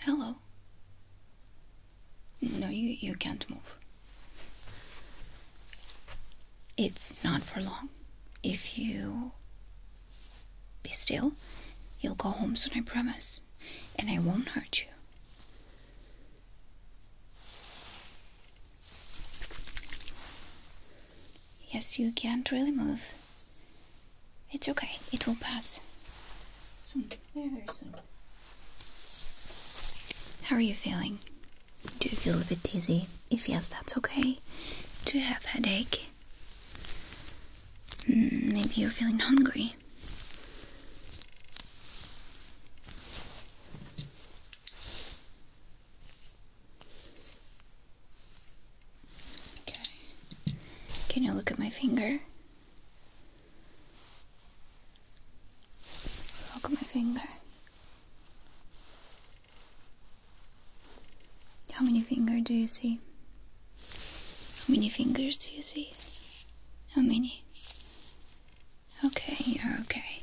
Hello. No, you, you can't move. It's not for long. If you be still, you'll go home soon, I promise. And I won't hurt you. Yes, you can't really move. It's okay, it will pass. How are you feeling? Do you feel a bit dizzy? If yes, that's okay. Do you have headache? Hmm, maybe you're feeling hungry. Okay. Can you look at my finger? Look at my finger. How many fingers do you see? How many fingers do you see? How many? Okay, you're okay.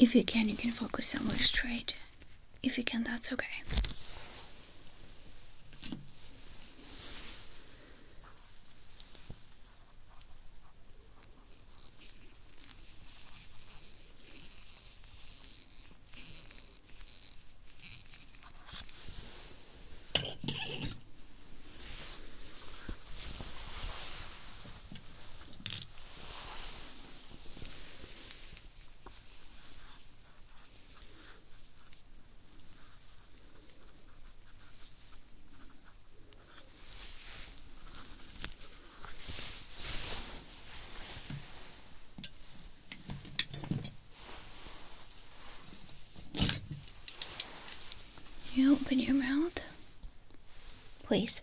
If you can, you can focus somewhere straight. If you can, that's okay. You open your mouth, please.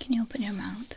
Can you open your mouth?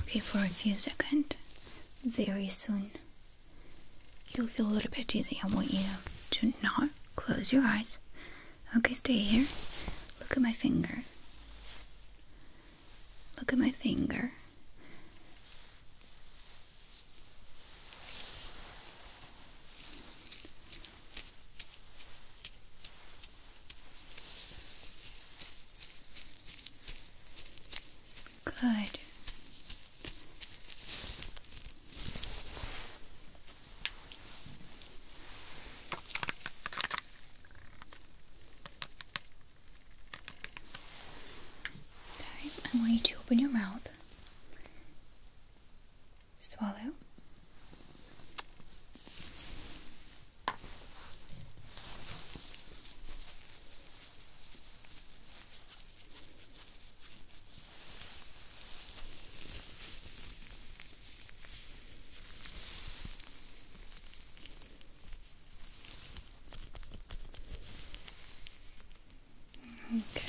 Okay, for a few seconds, very soon, you'll feel a little bit dizzy. I want you to not close your eyes. Okay, stay here. Look at my finger. Look at my finger. Good. Okay, I want you to open your mouth Swallow. Okay.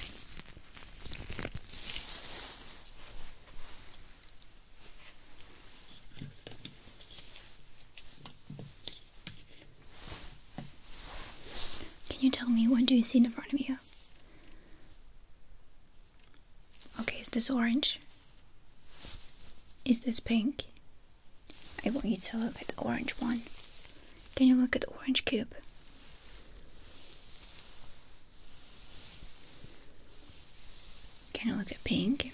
Can you tell me what do you see in front of you? Okay, is this orange? Is this pink? I want you to look at the orange one. Can you look at the orange cube? Kinda look at pink?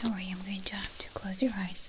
Don't worry, I'm going to have to close your eyes.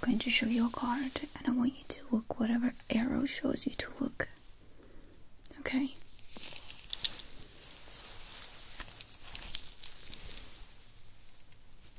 I'm going to show you a card and I want you to look whatever arrow shows you to look. Okay?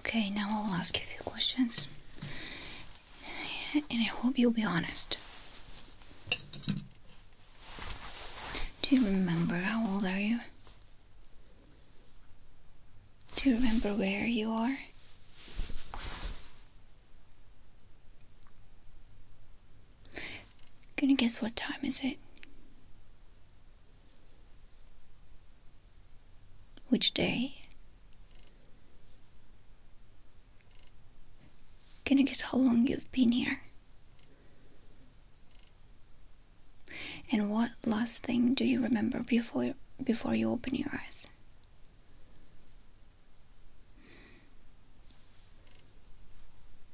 Okay, now I'll ask you a few questions. And I hope you'll be honest. Do you remember how old are you? Do you remember where you are? Can you guess what time is it? Which day? Can you guess how long you've been here? And what last thing do you remember before before you open your eyes?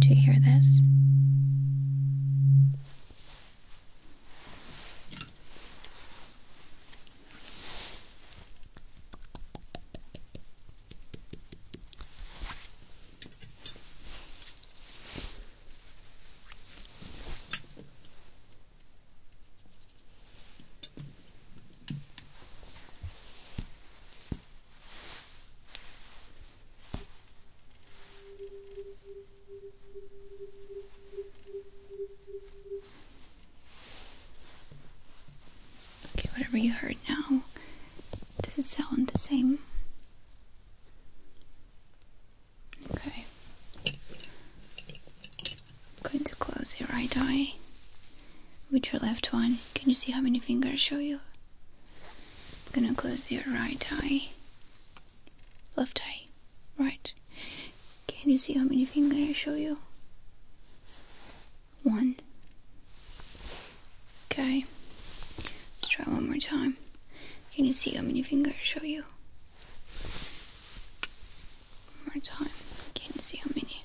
Do you hear this? Okay, whatever you heard now, does it sound the same? Okay. I'm going to close your right eye with your left one. Can you see how many fingers I show you? I'm gonna close your right eye, left eye, right. Can you see how many fingers I show you? One. Okay. Let's try one more time. Can you see how many fingers I show you? One more time. Can you see how many?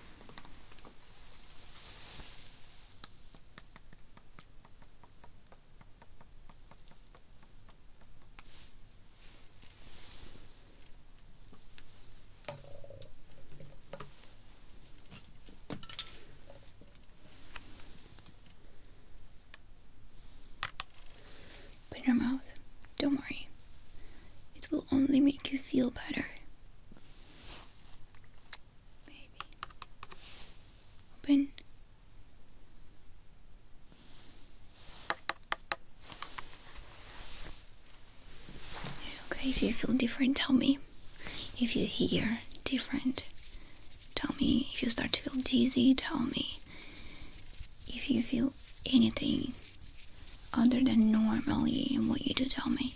Put your mouth. Don't worry. It will only make you feel better. Maybe. Open. Okay, if you feel different, tell me. If you hear different, tell me. If you start to feel dizzy, tell me. If you feel anything, other than normally and what you do tell me.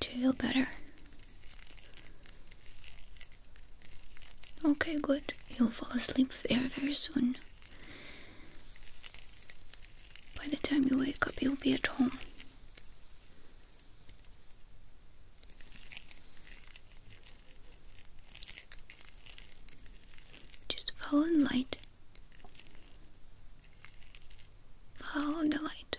Do you feel better? Okay, good. You'll fall asleep very, very soon. By the time you wake up, you'll be at home. Just follow the light. Follow the light.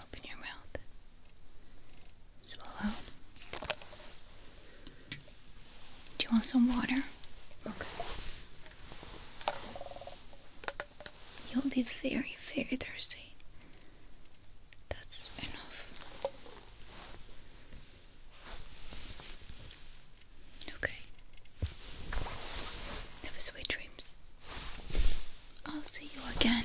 Open your mouth. Swallow. Do you want some water? Okay. You'll be very, very thirsty. That's enough. Okay. Have sweet dreams. I'll see you again.